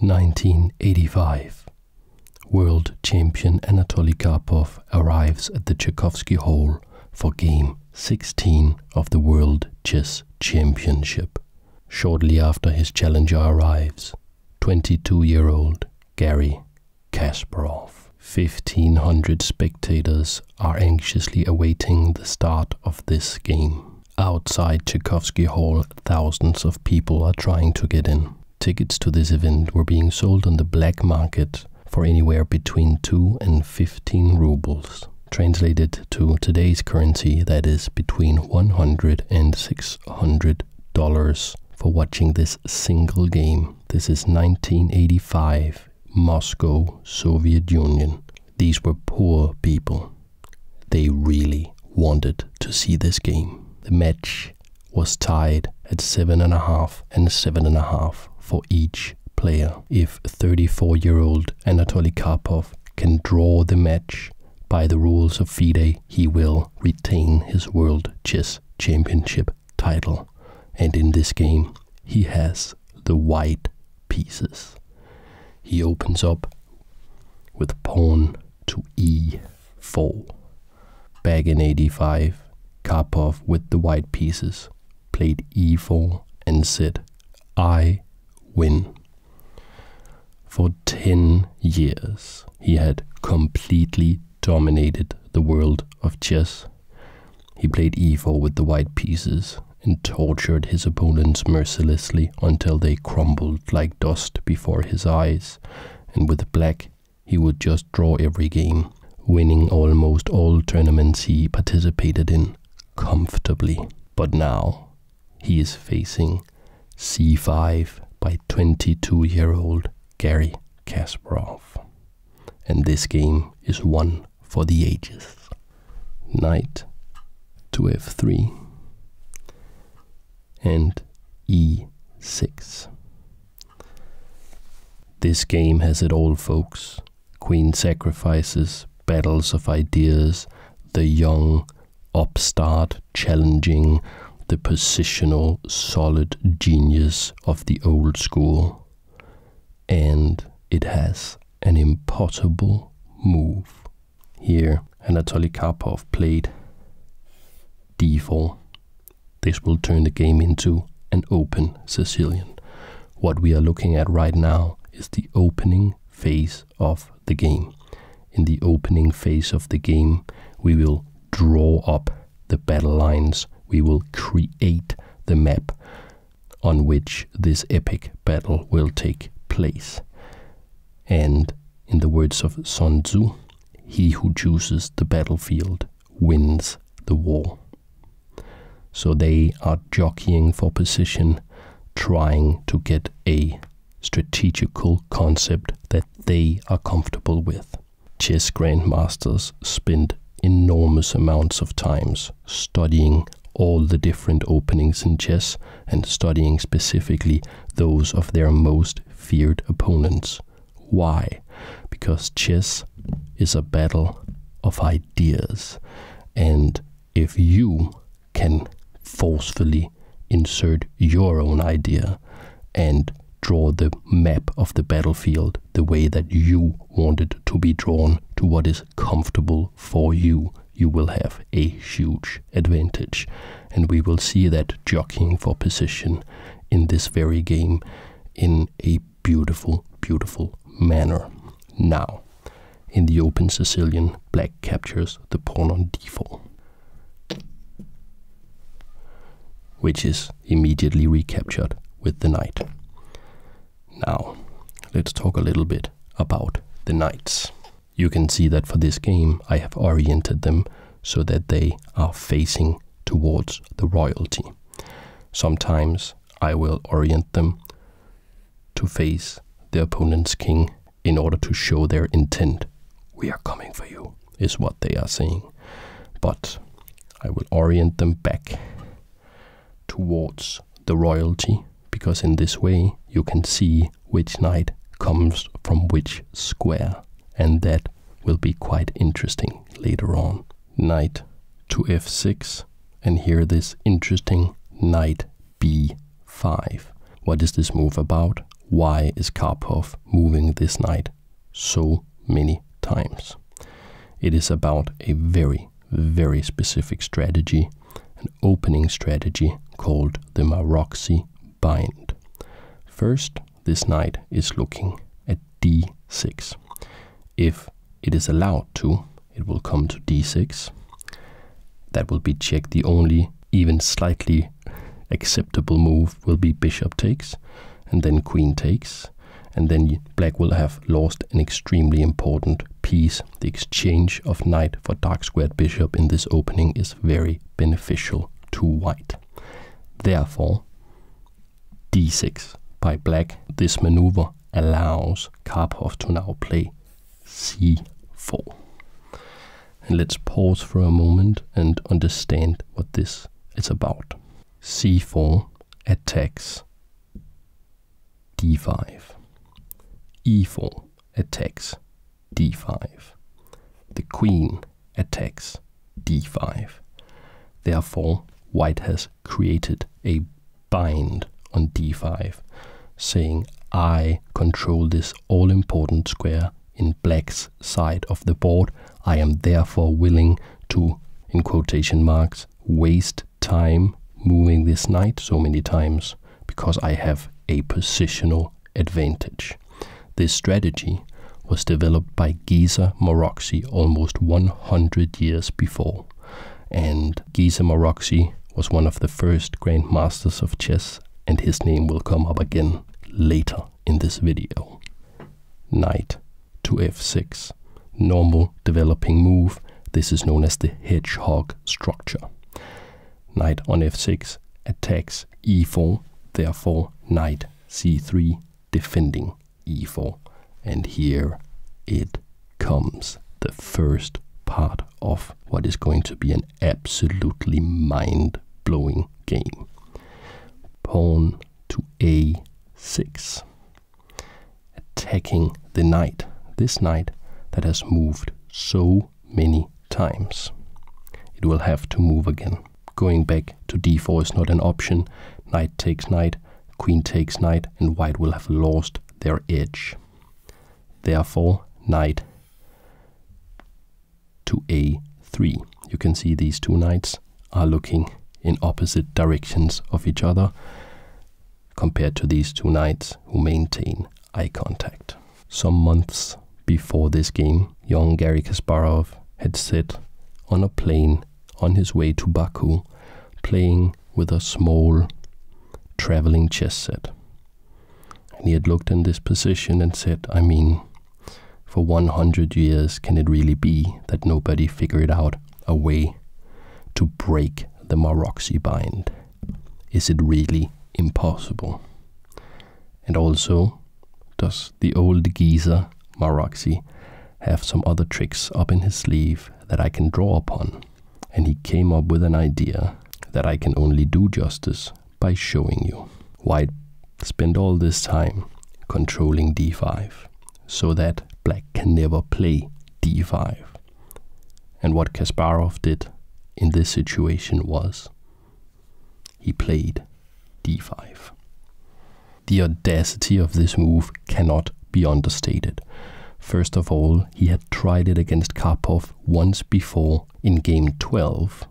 1985 World champion Anatoly Karpov arrives at the Tchaikovsky Hall for Game 16 of the World Chess Championship. Shortly after his challenger arrives, 22-year-old Gary Kasparov. 1500 spectators are anxiously awaiting the start of this game. Outside Tchaikovsky Hall, thousands of people are trying to get in. Tickets to this event were being sold on the black market for anywhere between 2 and 15 rubles. Translated to today's currency, that is between 100 dollars for watching this single game. This is 1985, Moscow, Soviet Union. These were poor people. They really wanted to see this game. The match was tied at 7.5 and 7.5 for each player. If 34 year old Anatoly Karpov can draw the match by the rules of FIDE, he will retain his World Chess Championship title. And in this game, he has the white pieces. He opens up with pawn to e4. Back in 85, Karpov with the white pieces played e4 and said, I win. For 10 years, he had completely dominated the world of chess. He played e4 with the white pieces and tortured his opponents mercilessly until they crumbled like dust before his eyes, and with black he would just draw every game, winning almost all tournaments he participated in comfortably. But now he is facing C5 by 22 year old Gary Kasparov. And this game is one for the ages. Knight to f3, and e6. This game has it all, folks. Queen sacrifices, battles of ideas, the young, upstart, challenging, the positional, solid genius of the old school. And it has an impossible move here, Anatoly Karpov played d4. This will turn the game into an open Sicilian. What we are looking at right now is the opening phase of the game. In the opening phase of the game, we will draw up the battle lines. We will create the map on which this epic battle will take place. And in the words of Sun Tzu, he who chooses the battlefield wins the war. So they are jockeying for position, trying to get a strategical concept that they are comfortable with. Chess grandmasters spend enormous amounts of times studying all the different openings in chess and studying specifically those of their most feared opponents. Why? Because chess is a battle of ideas, and if you can forcefully insert your own idea and draw the map of the battlefield the way that you want it to be drawn to what is comfortable for you, you will have a huge advantage. And we will see that jockeying for position in this very game in a beautiful, beautiful manner. Now, in the open Sicilian, black captures the pawn on d4, which is immediately recaptured with the knight. Now, let's talk a little bit about the knights. You can see that for this game, I have oriented them so that they are facing towards the royalty. Sometimes I will orient them to face the opponent's king in order to show their intent. We are coming for you, is what they are saying. But I will orient them back towards the royalty because in this way you can see which knight comes from which square, and that will be quite interesting later on. Knight to f6, and here this interesting knight b5. What is this move about? Why is Karpov moving this knight so many times? It is about a very, very specific strategy an opening strategy called the Maroxy bind. First, this knight is looking at d6. If it is allowed to, it will come to d6. That will be checked. The only even slightly acceptable move will be bishop takes and then queen takes and then black will have lost an extremely important piece the exchange of knight for dark squared bishop in this opening is very beneficial to white. Therefore, d6 by black, this maneuver allows Karpov to now play c4. And let's pause for a moment and understand what this is about. c4 attacks d5. e4 attacks d5. The queen attacks d5. Therefore, white has created a bind on d5, saying, I control this all-important square in black's side of the board. I am therefore willing to, in quotation marks, waste time moving this knight so many times because I have a positional advantage. This strategy was developed by Giza Moroxi almost 100 years before, and Giza Moroxi was one of the first grandmasters of chess, and his name will come up again later in this video. Knight to f6. Normal developing move. This is known as the hedgehog structure knight on f6 attacks e4, therefore knight c3 defending e4. And here it comes, the first part of what is going to be an absolutely mind-blowing game. Pawn to a6, attacking the knight, this knight that has moved so many times. It will have to move again. Going back to d4 is not an option. Knight takes knight, queen takes knight, and white will have lost their edge. Therefore, knight to a3. You can see these two knights are looking in opposite directions of each other compared to these two knights who maintain eye contact. Some months before this game, young Gary Kasparov had sat on a plane on his way to Baku playing with a small traveling chess set. And he had looked in this position and said, I mean, for 100 years, can it really be that nobody figured out a way to break the Maroxy bind? Is it really impossible? And also, does the old geezer Maroxy have some other tricks up in his sleeve that I can draw upon? And he came up with an idea that I can only do justice by showing you. Why spend all this time controlling d5 so that black can never play d5? And what Kasparov did in this situation was he played d5. The audacity of this move cannot be understated. First of all, he had tried it against Karpov once before in game 12.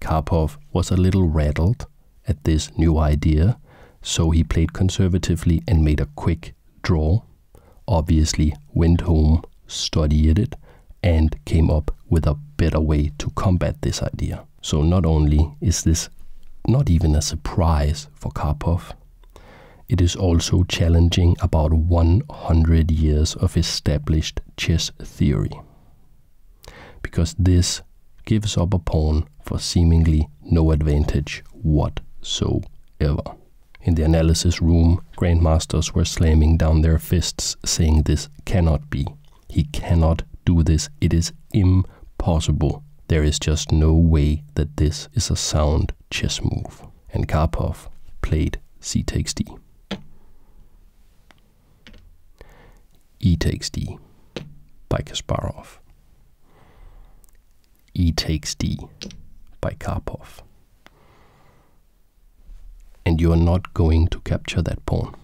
Karpov was a little rattled at this new idea, so he played conservatively and made a quick draw obviously went home, studied it, and came up with a better way to combat this idea. So not only is this not even a surprise for Karpov, it is also challenging about 100 years of established chess theory. Because this gives up a pawn for seemingly no advantage whatsoever. In the analysis room, grandmasters were slamming down their fists, saying this cannot be. He cannot do this. It is impossible. There is just no way that this is a sound chess move. And Karpov played c takes d. e takes d by Kasparov. e takes d by Karpov and you are not going to capture that pawn.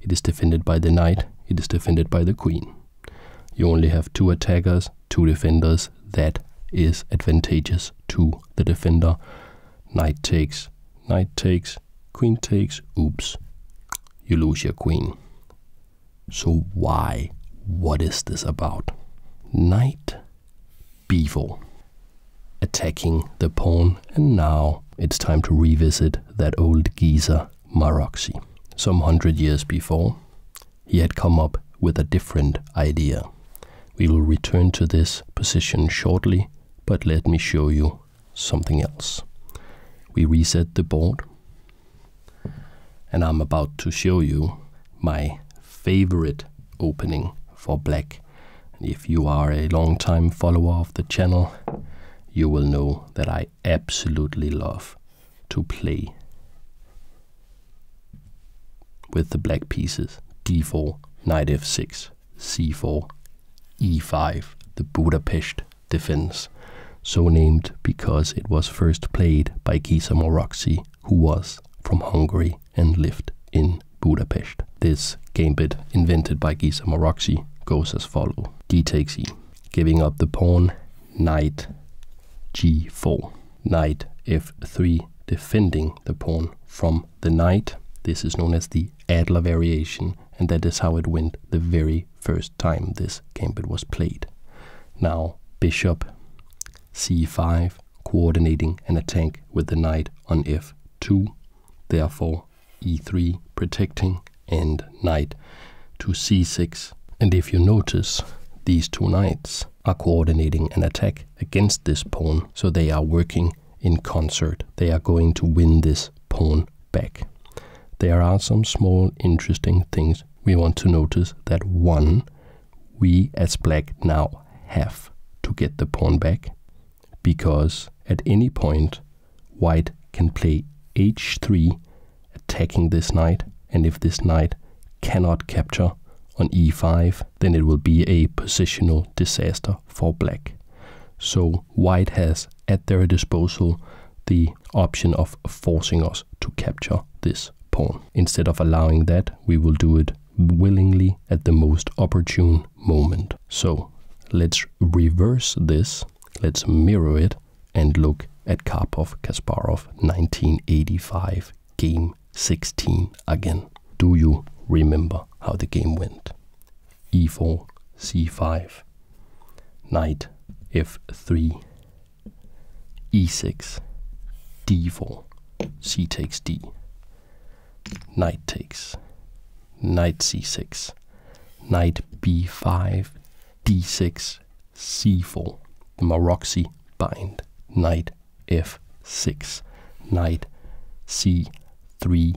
It is defended by the knight, it is defended by the queen. You only have two attackers, two defenders. That is advantageous to the defender. Knight takes, knight takes, queen takes, oops. You lose your queen. So why? What is this about? Knight b attacking the pawn and now it's time to revisit that old geezer Maroxy. Some hundred years before, he had come up with a different idea. We will return to this position shortly, but let me show you something else. We reset the board, and I'm about to show you my favorite opening for black. if you are a long-time follower of the channel, you will know that I absolutely love to play with the black pieces d4, knight f6, c4, e5, the Budapest defense, so named because it was first played by Gisa Moroxy who was from Hungary and lived in Budapest. This game bit, invented by Gisa Moroxy, goes as follows. d takes e, giving up the pawn, knight g4, knight f3, defending the pawn from the knight. This is known as the Adler variation, and that is how it went the very first time this gambit was played. Now, bishop c5, coordinating an attack with the knight on f2, therefore e3 protecting and knight to c6. And if you notice, these two knights are coordinating an attack against this pawn, so they are working in concert. They are going to win this pawn back. There are some small interesting things we want to notice that one, we as black now have to get the pawn back because at any point white can play h3 attacking this knight and if this knight cannot capture on e5 then it will be a positional disaster for black. So white has at their disposal the option of forcing us to capture this pawn. Instead of allowing that we will do it willingly at the most opportune moment. So let's reverse this, let's mirror it, and look at Karpov Kasparov 1985 game 16 again. Do you remember how the game went? e4, c5, knight, f3, e6, d4 c takes d, knight takes, knight c6, knight b5, d6, c4, the Maroxy bind, knight f6, knight c3,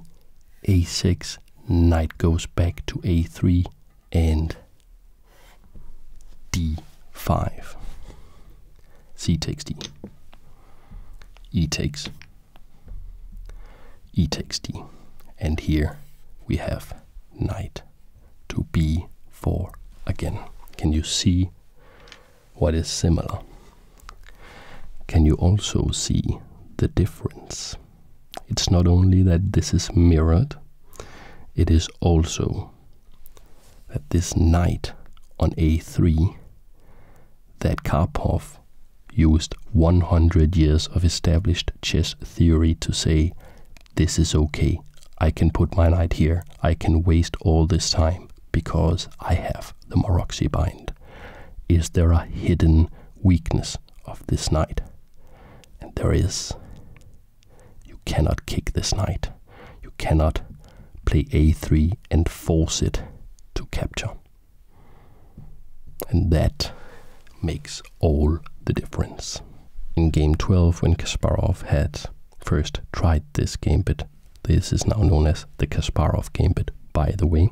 a6, knight goes back to a3, and d5. C takes D. E takes. E takes D. And here we have knight to B4 again. Can you see what is similar? Can you also see the difference? It's not only that this is mirrored, it is also that this knight on a3 that Karpov used 100 years of established chess theory to say this is okay. I can put my knight here. I can waste all this time because I have the Moroxy bind. Is there a hidden weakness of this knight? And there is. You cannot kick this knight. You cannot play a3 and force it to capture. And that makes all the difference. In game 12, when Kasparov had first tried this gambit, this is now known as the Kasparov gambit, by the way,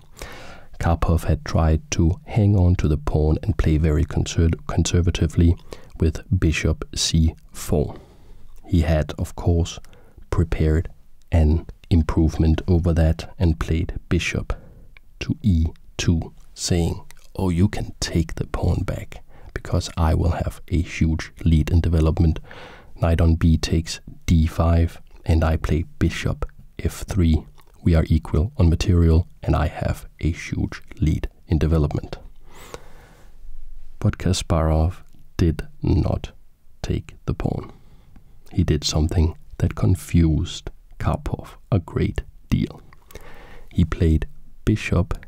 Karpov had tried to hang on to the pawn and play very conservatively with bishop c4. He had, of course, prepared an improvement over that and played bishop to e2, saying, Oh, you can take the pawn back because I will have a huge lead in development. Knight on b takes d5, and I play bishop f3. We are equal on material, and I have a huge lead in development. But Kasparov did not take the pawn. He did something that confused Karpov a great deal. He played bishop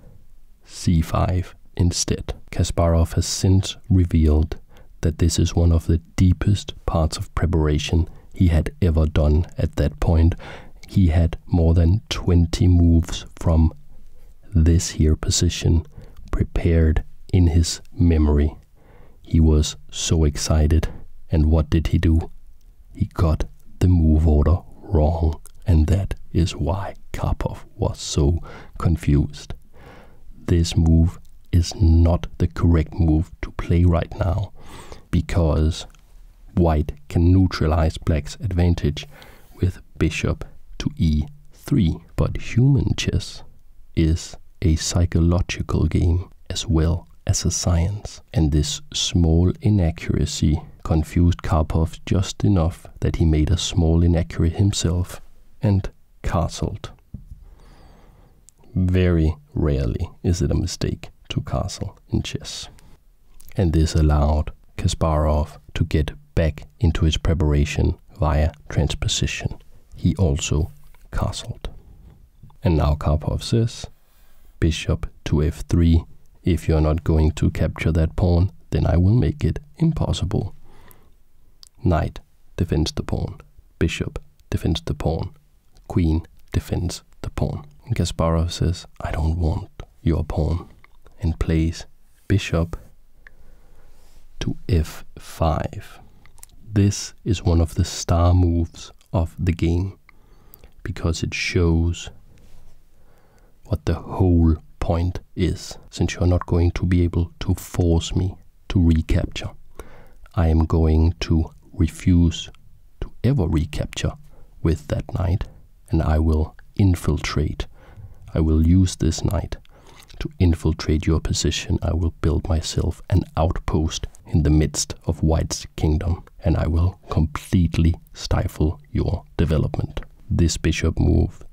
c5 instead. Kasparov has since revealed that this is one of the deepest parts of preparation he had ever done at that point. He had more than 20 moves from this here position prepared in his memory. He was so excited. And what did he do? He got the move order wrong. And that is why Karpov was so confused. This move is not the correct move to play right now because white can neutralize black's advantage with bishop to e Three, but human chess is a psychological game as well as a science, and this small inaccuracy confused Karpov just enough that he made a small inaccuracy himself and castled. Very rarely is it a mistake to castle in chess. And this allowed Kasparov to get back into his preparation via transposition. He also castled. And now Karpov says, bishop to f3. If you're not going to capture that pawn, then I will make it impossible. Knight defends the pawn. Bishop defends the pawn. Queen defends the pawn. And says, I don't want your pawn, and plays bishop to f5. This is one of the star moves of the game because it shows what the whole point is, since you're not going to be able to force me to recapture. I am going to refuse to ever recapture with that knight and I will infiltrate. I will use this knight to infiltrate your position. I will build myself an outpost in the midst of White's kingdom, and I will completely stifle your development. This bishop move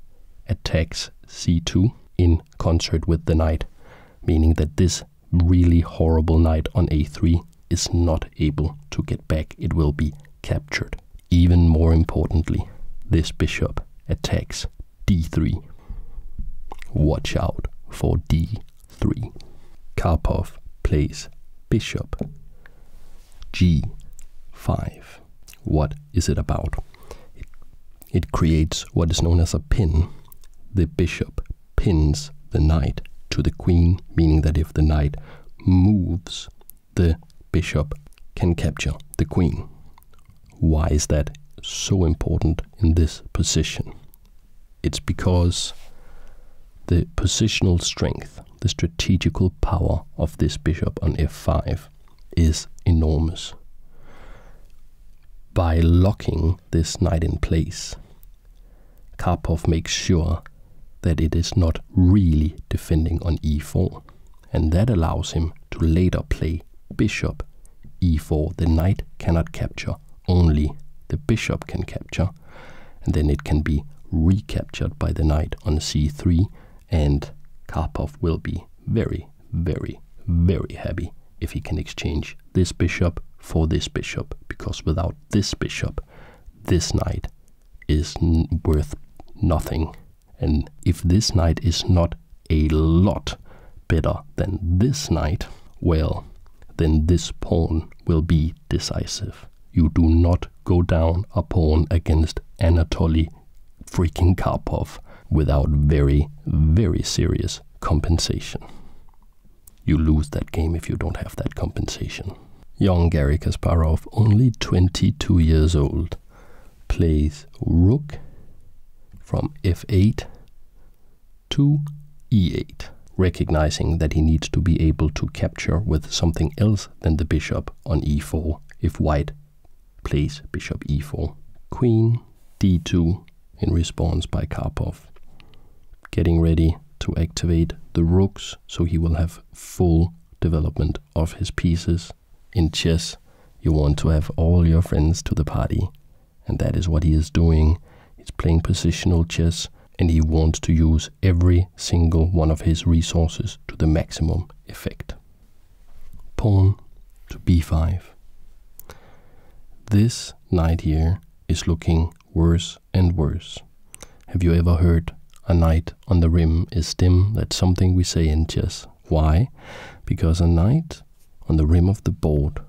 attacks c2 in concert with the knight, meaning that this really horrible knight on a3 is not able to get back. It will be captured. Even more importantly, this bishop attacks d3. Watch out for d3. Karpov plays bishop g5. What is it about? It, it creates what is known as a pin. The bishop pins the knight to the queen, meaning that if the knight moves, the bishop can capture the queen. Why is that so important in this position? It's because the positional strength, the strategical power of this bishop on f5 is enormous. By locking this knight in place, Karpov makes sure that it is not really defending on e4 and that allows him to later play bishop e4. The knight cannot capture, only the bishop can capture, and then it can be recaptured by the knight on c3, and Karpov will be very, very, very happy if he can exchange this bishop for this bishop, because without this bishop, this knight is worth nothing and if this night is not a lot better than this night, well, then this pawn will be decisive. You do not go down a pawn against Anatoly freaking Karpov without very, very serious compensation. You lose that game if you don't have that compensation. Young Gary Kasparov, only 22 years old, plays rook from f8 to e8, recognizing that he needs to be able to capture with something else than the bishop on e4 if white plays bishop e4. Queen d2 in response by Karpov, getting ready to activate the rooks so he will have full development of his pieces in chess, you want to have all your friends to the party, and that is what he is doing. He's playing positional chess, and he wants to use every single one of his resources to the maximum effect. Pawn to b5. This knight here is looking worse and worse. Have you ever heard a knight on the rim is dim. That's something we say in chess. Why? Because a knight on the rim of the board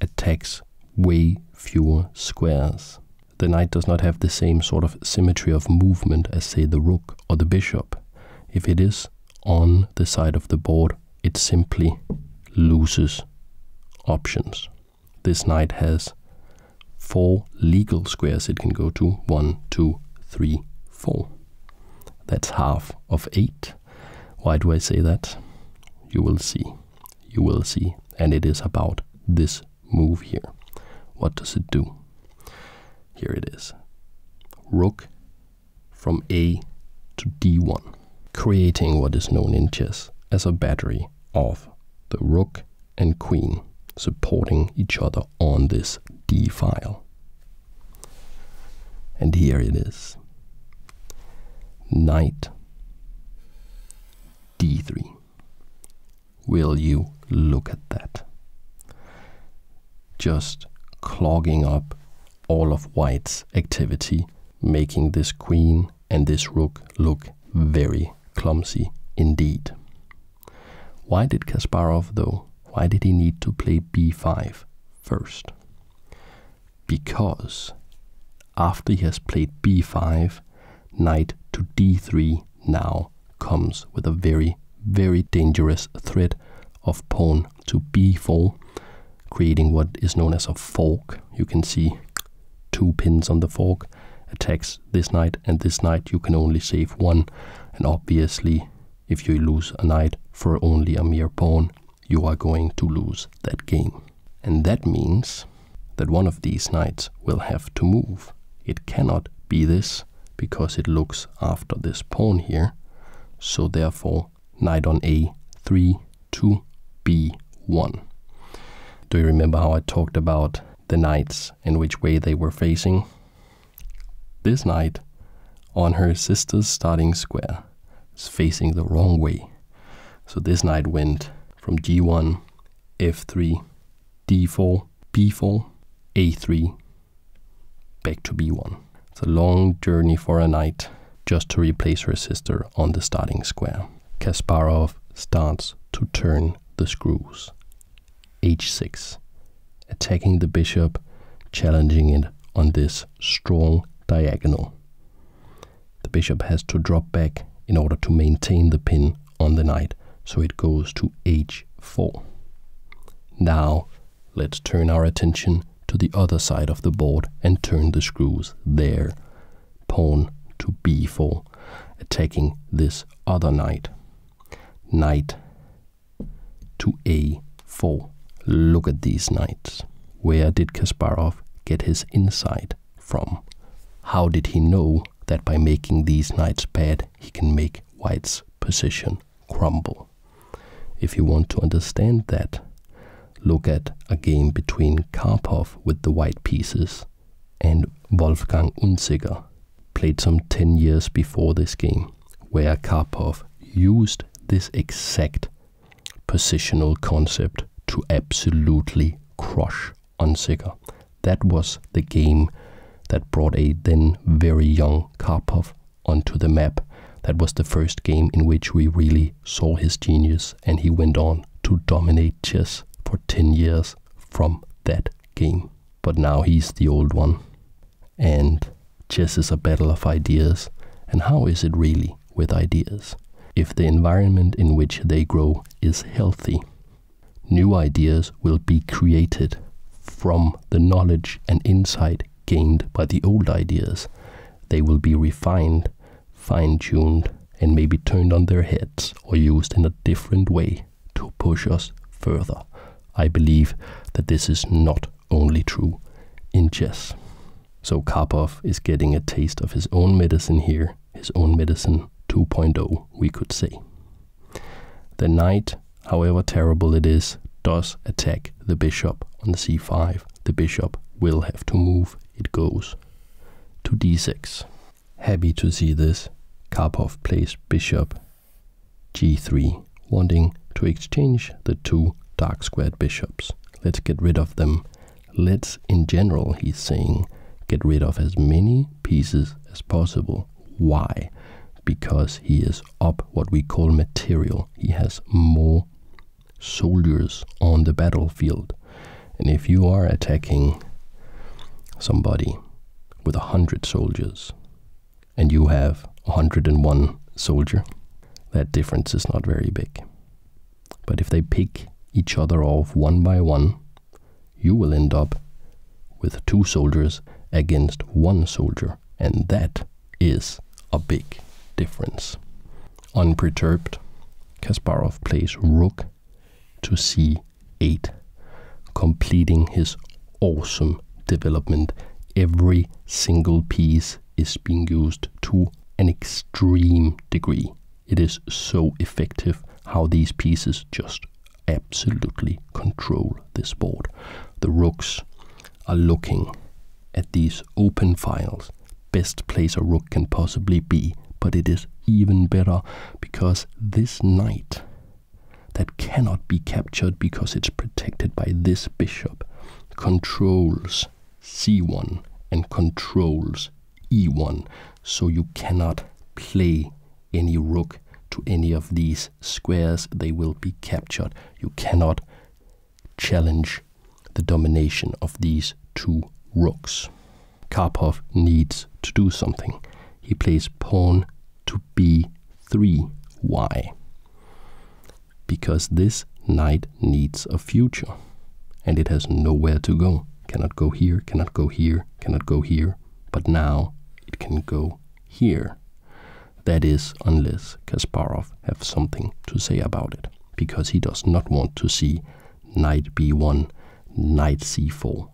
attacks way fewer squares. The knight does not have the same sort of symmetry of movement as, say, the rook or the bishop. If it is on the side of the board, it simply loses options. This knight has four legal squares it can go to one, two, three, 4. That's half of 8. Why do I say that? You will see. You will see. And it is about this move here. What does it do? Here it is. Rook from A to D1, creating what is known in chess as a battery of the rook and queen supporting each other on this D file. And here it is. Knight d3. Will you look at that? Just clogging up all of white's activity, making this queen and this rook look very clumsy indeed. Why did Kasparov, though, why did he need to play b5 first? Because after he has played b5, knight to d3 now comes with a very, very dangerous threat of pawn to b4, creating what is known as a fork. You can see two pins on the fork, attacks this, this knight, and this knight, you can only save one. And obviously, if you lose a knight for only a mere pawn, you are going to lose that game. And that means that one of these knights will have to move. It cannot be this, because it looks after this pawn here. So therefore, knight on a3 to b1. Do you remember how I talked about the knights and which way they were facing? This night, on her sister's starting square, is facing the wrong way. So this knight went from g1, f3, d4, b4, a3, back to b1. It's a long journey for a knight just to replace her sister on the starting square. Kasparov starts to turn the screws h6, attacking the bishop, challenging it on this strong diagonal. The bishop has to drop back in order to maintain the pin on the knight, so it goes to h4. Now, let's turn our attention to the other side of the board and turn the screws there. Pawn to b4, attacking this other knight knight to a4. Look at these knights. Where did Kasparov get his insight from? How did he know that by making these knights bad, he can make white's position crumble? If you want to understand that, look at a game between Karpov with the white pieces and Wolfgang Unziger played some 10 years before this game, where Karpov used this exact positional concept to absolutely crush Unsicker. That was the game that brought a then very young Karpov onto the map. That was the first game in which we really saw his genius, and he went on to dominate chess for 10 years from that game but now he's the old one. And chess is a battle of ideas. And how is it really with ideas? If the environment in which they grow is healthy, new ideas will be created from the knowledge and insight gained by the old ideas. They will be refined, fine tuned, and may be turned on their heads or used in a different way to push us further. I believe that this is not only true in chess. So Karpov is getting a taste of his own medicine here, his own medicine 2.0, we could say. The knight, however terrible it is, does attack the bishop on c5. The bishop will have to move. It goes to d6. Happy to see this. Karpov plays bishop g3, wanting to exchange the two dark squared bishops. Let's get rid of them. Let's, in general, he's saying, get rid of as many pieces as possible. Why? Because he is up what we call material. He has more soldiers on the battlefield. And if you are attacking somebody with a hundred soldiers, and you have 101 soldier, that difference is not very big. But if they pick each other off one by one, you will end up with two soldiers against one soldier, and that is a big difference. Unperturbed, Kasparov plays rook to c eight, completing his awesome development. Every single piece is being used to an extreme degree. It is so effective how these pieces just absolutely control this board. The rooks are looking at these open files. Best place a rook can possibly be, but it is even better because this knight that cannot be captured because it's protected by this bishop, controls c1 and controls e1, so you cannot play any rook to any of these squares. They will be captured. You cannot challenge the domination of these two rooks. Karpov needs to do something. He plays pawn to b3y because this knight needs a future and it has nowhere to go. Cannot go here, cannot go here, cannot go here, but now it can go here. That is, unless Kasparov have something to say about it, because he does not want to see knight b1, knight c4,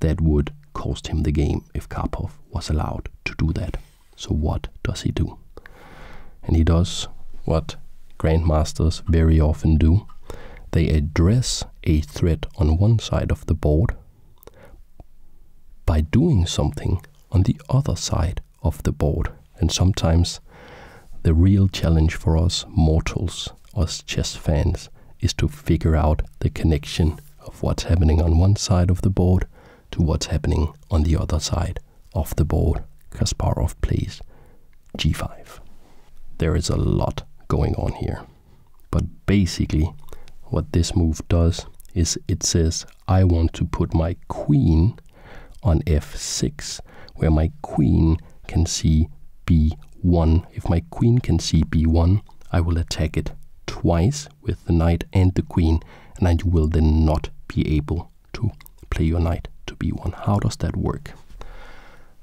that would cost him the game if Karpov was allowed to do that. So what does he do? And he does what grandmasters very often do. They address a threat on one side of the board by doing something on the other side of the board. And sometimes the real challenge for us mortals, as chess fans, is to figure out the connection of what's happening on one side of the board to what's happening on the other side of the board. Kasparov plays g5. There is a lot going on here. But basically, what this move does is it says, I want to put my queen on f6, where my queen can see b1 if my queen can see b1, I will attack it twice with the knight and the queen, and I will then not be able to play your knight to b1. How does that work?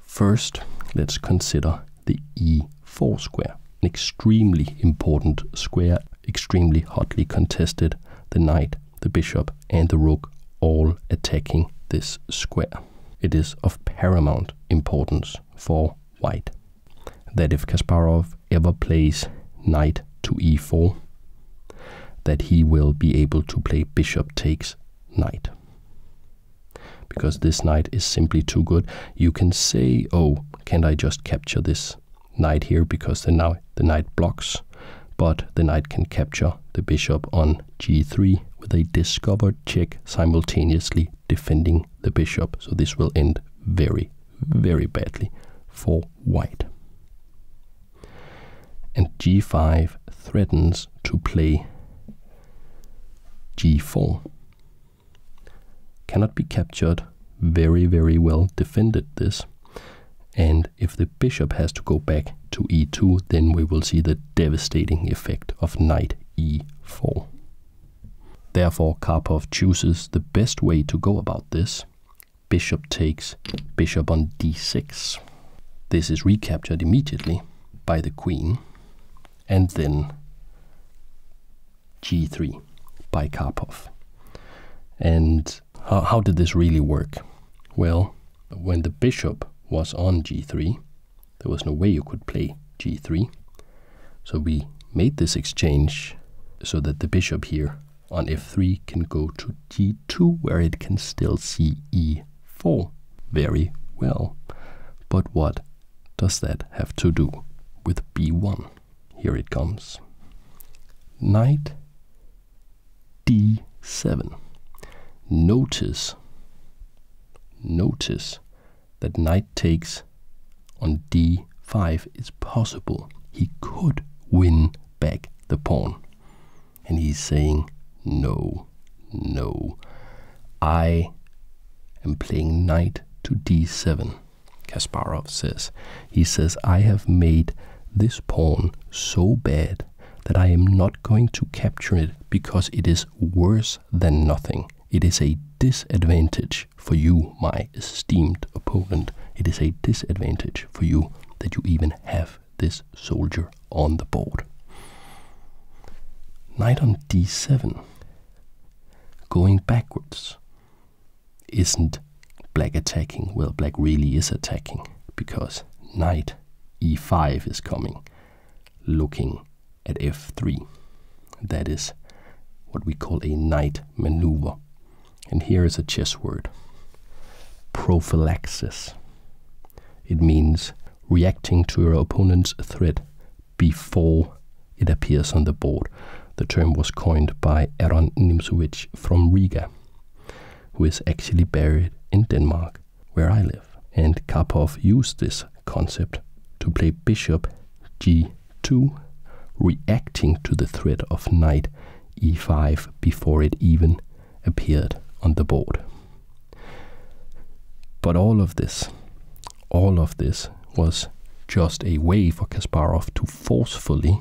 First, let's consider the e4 square, an extremely important square, extremely hotly contested. The knight, the bishop, and the rook all attacking this square. It is of paramount importance for white that if Kasparov ever plays knight to e4, that he will be able to play bishop takes knight. Because this knight is simply too good. You can say, oh, can't I just capture this knight here because the, now, the knight blocks, but the knight can capture the bishop on g3 with a discovered check simultaneously defending the bishop. So this will end very, very badly for white. And g5 threatens to play g4. Cannot be captured, very, very well defended this. And if the bishop has to go back to e2, then we will see the devastating effect of knight e4. Therefore, Karpov chooses the best way to go about this. Bishop takes bishop on d6. This is recaptured immediately by the queen, and then g3 by Karpov. And how, did this really work? Well, when the bishop was on g3, there was no way you could play g3. So we made this exchange so that the bishop here on f3 can go to g2 where it can still see e4 very well. But what does that have to do with b1? Here it comes. Knight d7. Notice, notice that knight takes on d5 is possible. He could win back the pawn. And he's saying, no, no. I am playing knight to d7, Kasparov says. He says, I have made this pawn so bad that I am not going to capture it because it is worse than nothing it is a disadvantage for you, my esteemed opponent. It is a disadvantage for you that you even have this soldier on the board. Knight on d7, going backwards, isn't black attacking? Well, black really is attacking because knight e5 is coming, looking at f3. That is what we call a knight maneuver. And here is a chess word prophylaxis. It means reacting to your opponent's threat before it appears on the board. The term was coined by Aaron Nimzowitsch from Riga, who is actually buried in Denmark, where I live. And Kasparov used this concept to play bishop g2, reacting to the threat of knight e5 before it even appeared on the board. But all of this, all of this was just a way for Kasparov to forcefully,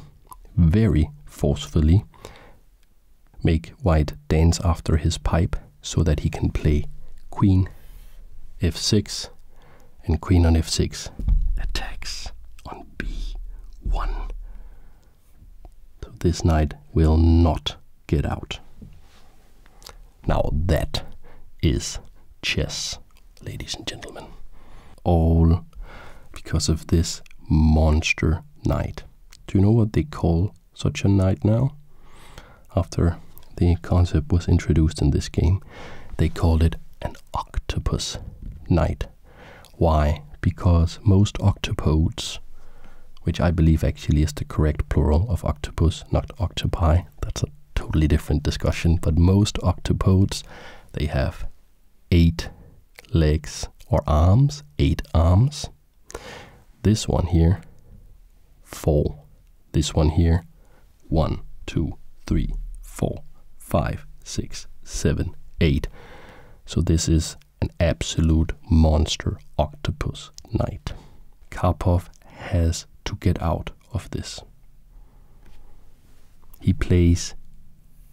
very forcefully, make White dance after his pipe so that he can play queen f6 and queen on f6 attacks on b1. So this knight will not get out. Now that is chess, ladies and gentlemen. All because of this monster knight. Do you know what they call such a knight now? after the concept was introduced in this game, they called it an octopus knight. Why? Because most octopodes, which I believe actually is the correct plural of octopus, not octopi, that's a totally different discussion, but most octopodes, they have eight legs or arms, eight arms. This one here, four this one here, one, two, three, four, five, six, seven, eight. So this is an absolute monster octopus knight. Karpov has to get out of this. He plays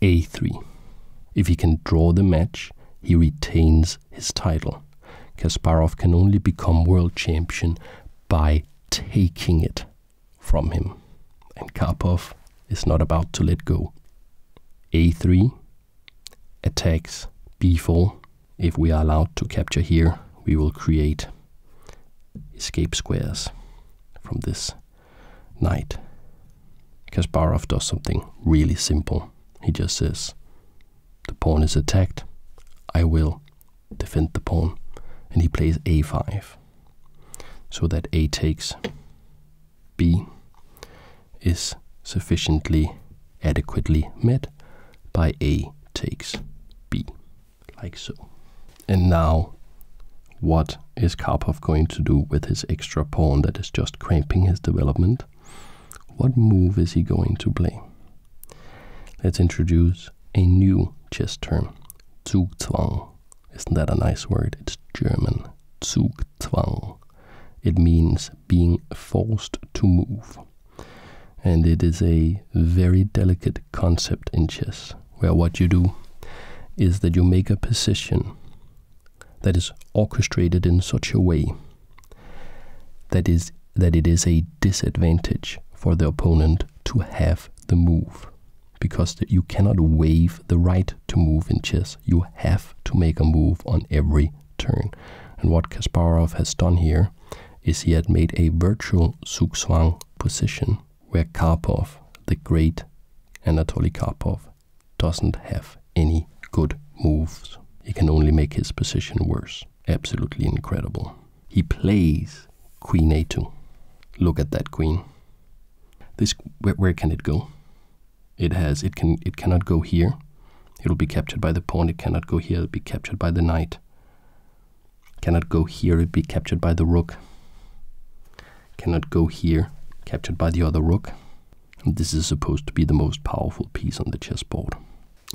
a3. If he can draw the match, he retains his title. Kasparov can only become world champion by taking it from him. And Karpov is not about to let go. A3 attacks B4. If we are allowed to capture here, we will create escape squares from this knight. Kasparov does something really simple. He just says, the pawn is attacked, I will defend the pawn, and he plays a5. So that a takes b is sufficiently adequately met by a takes b, like so. And now, what is Karpov going to do with his extra pawn that is just cramping his development? What move is he going to play? Let's introduce a new chess term, Zugzwang. Isn't that a nice word? It's German. Zugzwang. It means being forced to move. And it is a very delicate concept in chess, where what you do is that you make a position that is orchestrated in such a way that is that it is a disadvantage for the opponent to have the move because you cannot waive the right to move in chess. You have to make a move on every turn. And what Kasparov has done here is he had made a virtual zugzwang position where Karpov, the great Anatoly Karpov, doesn't have any good moves. He can only make his position worse. Absolutely incredible he plays queen a2. Look at that queen. This where, can it go? It has it can it cannot go here. It'll be captured by the pawn. It cannot go here. It'll be captured by the knight. Cannot go here. It'll be captured by the rook. Cannot go here. Captured by the other rook. this is supposed to be the most powerful piece on the chessboard.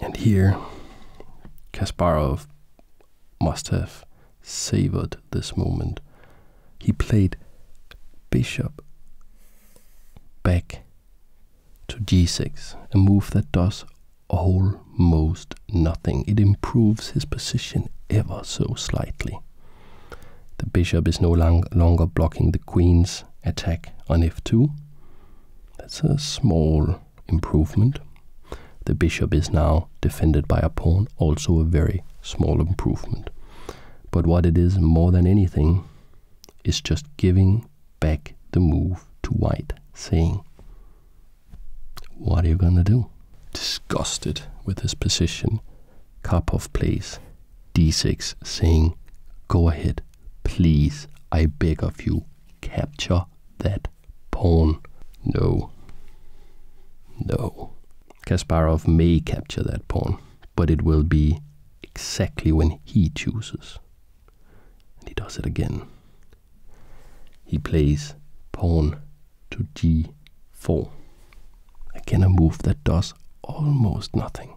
And here, Kasparov must have savored this moment. He played bishop back to g6, a move that does almost nothing. It improves his position ever so slightly. The bishop is no long longer blocking the queen's attack on f2. That's a small improvement. The bishop is now defended by a pawn, also a very small improvement. But what it is more than anything is just giving back the move to white, saying, What are you gonna do? Disgusted with his position, Karpov plays d6, saying, Go ahead, please, I beg of you, capture that pawn. No. No. Kasparov may capture that pawn, but it will be exactly when he chooses. And he does it again. He plays pawn to g4. Again, a move that does almost nothing.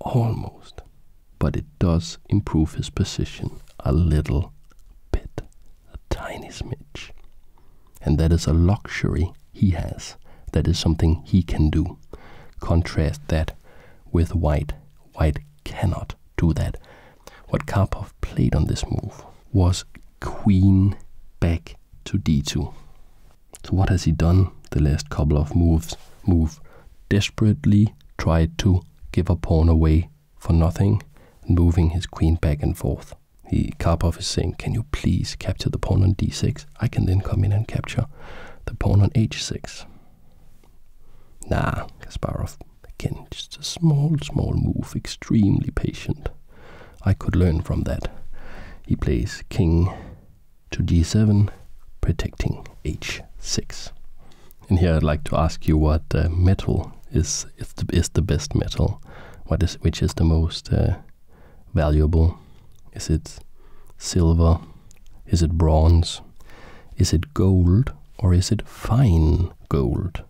Almost. But it does improve his position a little bit. A tiny smidge. And that is a luxury he has. That is something he can do. Contrast that with White. White cannot do that. What Karpov played on this move was queen back to d2. So what has he done the last couple of moves? Move desperately tried to give a pawn away for nothing, moving his queen back and forth. He Karpov is saying, can you please capture the pawn on d6? I can then come in and capture the pawn on h6. Nah, Kasparov, again, just a small, small move, extremely patient. I could learn from that. He plays king to d 7 protecting h6. And here I'd like to ask you what uh, metal is is the, best metal? What is which is the most uh, valuable? Is it silver? Is it bronze? Is it gold or is it fine gold?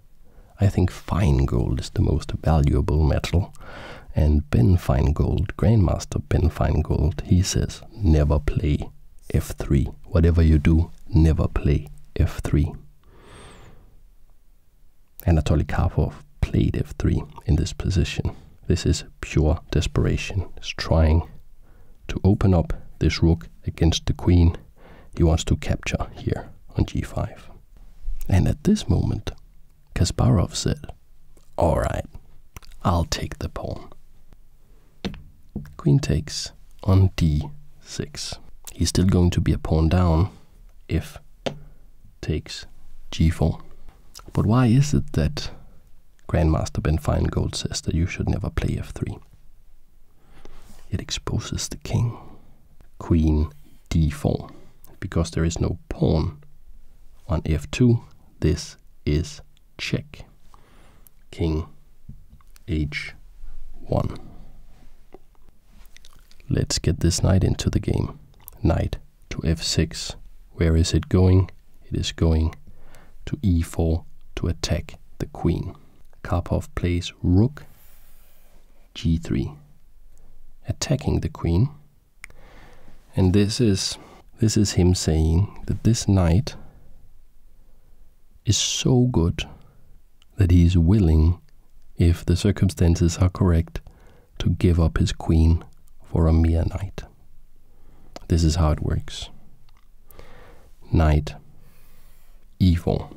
I think fine gold is the most valuable metal. And Ben Feingold, Grandmaster Ben Feingold, he says never play f3. Whatever you do, never play f3. Anatoly Karpov played f3 in this position. This is pure desperation. He's trying to open up this rook against the queen he wants to capture here on g5. And at this moment, Kasparov said, Alright, I'll take the pawn. Queen takes on d6. He's still going to be a pawn down if takes g4. But why is it that Grandmaster Ben Feingold says that you should never play f3? It exposes the king. Queen d4. Because there is no pawn on f2, this is check. King h1. Let's get this knight into the game. Knight to f6. Where is it going? It is going to e4 to attack the queen. Karpov plays rook g3, attacking the queen. And this is this is him saying that this knight is so good that he is willing, if the circumstances are correct, to give up his queen for a mere knight. This is how it works. Knight, Evil.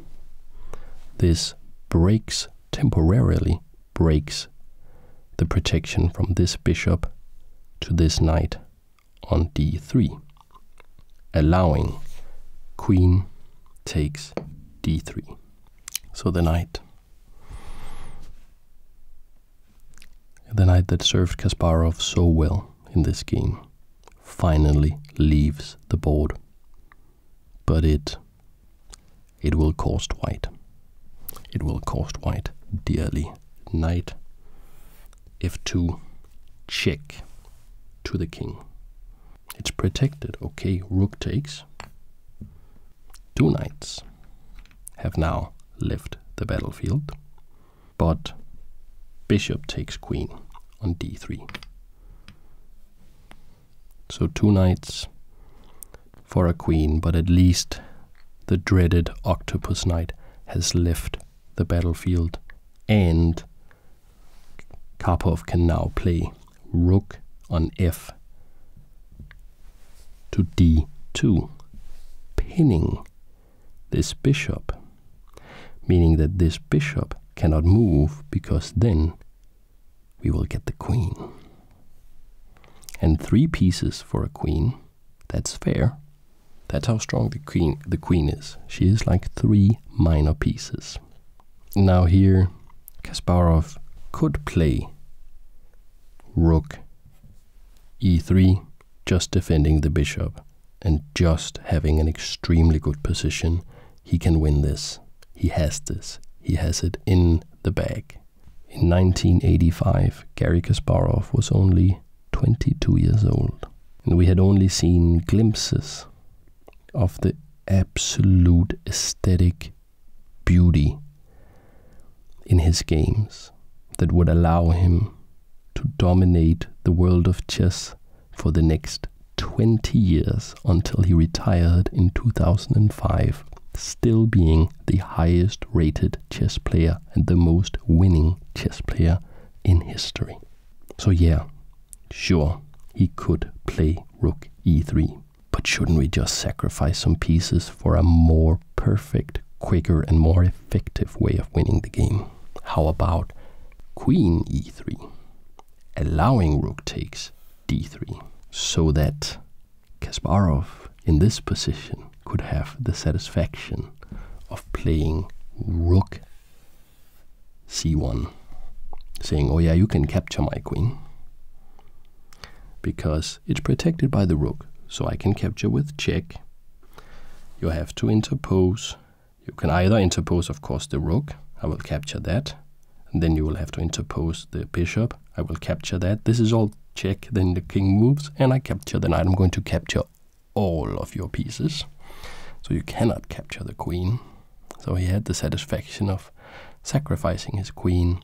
This breaks, temporarily breaks, the protection from this bishop to this knight on d3, allowing queen takes d3. So the knight, the knight that served Kasparov so well in this game, finally leaves the board. But it, it will cost white. It will cost white dearly knight f2 check to the king. It's protected. Okay, rook takes. Two knights have now left the battlefield, but bishop takes queen on d3. So two knights for a queen, but at least the dreaded octopus knight has left the battlefield, and Karpov can now play rook on f to d2, pinning this bishop, meaning that this bishop cannot move because then we will get the queen. And three pieces for a queen that's fair. That's how strong the queen, the queen is. She is like three minor pieces. Now here, Kasparov could play rook e3, just defending the bishop and just having an extremely good position. He can win this. He has this. He has it in the bag. In 1985, Gary Kasparov was only 22 years old. And we had only seen glimpses of the absolute aesthetic beauty in his games that would allow him to dominate the world of chess for the next 20 years until he retired in 2005, still being the highest rated chess player and the most winning chess player in history. So, yeah, sure, he could play rook e3, but shouldn't we just sacrifice some pieces for a more perfect, quicker, and more effective way of winning the game? How about queen e3, allowing rook takes d3, so that Kasparov in this position could have the satisfaction of playing rook c1, saying, Oh, yeah, you can capture my queen because it's protected by the rook, so I can capture with check. You have to interpose. You can either interpose, of course, the rook, I will capture that, then you will have to interpose the bishop, I will capture that. This is all check, then the king moves, and I capture the knight. I'm going to capture all of your pieces. So you cannot capture the queen. So he had the satisfaction of sacrificing his queen,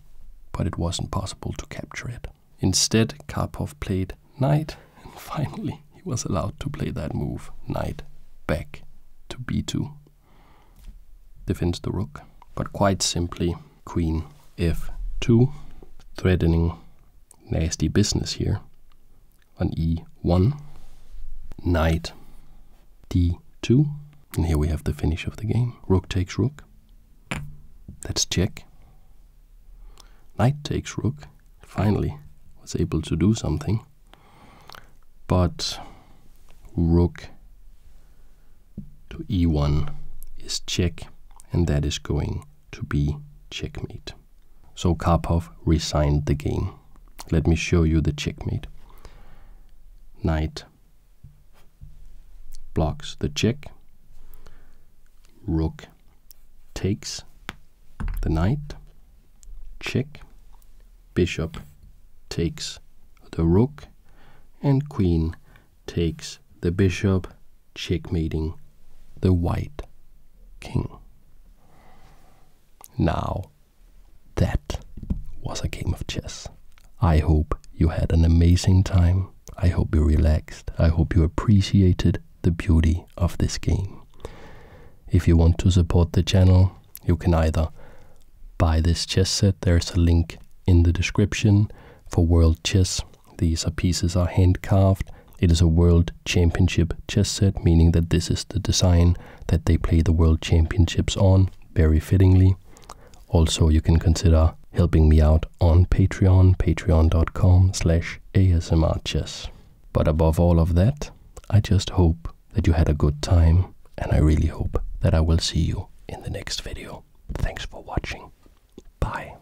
but it wasn't possible to capture it. Instead, Karpov played knight, and finally he was allowed to play that move, knight back to b2. Defends the rook, but quite simply, queen f2, threatening Nasty business here. On e1, knight d2, and here we have the finish of the game. Rook takes rook. That's check. Knight takes rook. Finally was able to do something. But rook to e1 is check, and that is going to be checkmate. So Karpov resigned the game. Let me show you the checkmate. Knight blocks the check. Rook takes the knight. Check. Bishop takes the rook. And queen takes the bishop checkmating the white king. Now, that was a game of chess. I hope you had an amazing time. I hope you relaxed. I hope you appreciated the beauty of this game. If you want to support the channel, you can either buy this chess set, there's a link in the description for World Chess these pieces are hand carved. It is a world championship chess set, meaning that this is the design that they play the world championships on, very fittingly. Also, you can consider helping me out on Patreon, patreon.com slash asmrchess. But above all of that, I just hope that you had a good time, and I really hope that I will see you in the next video. Thanks for watching. Bye.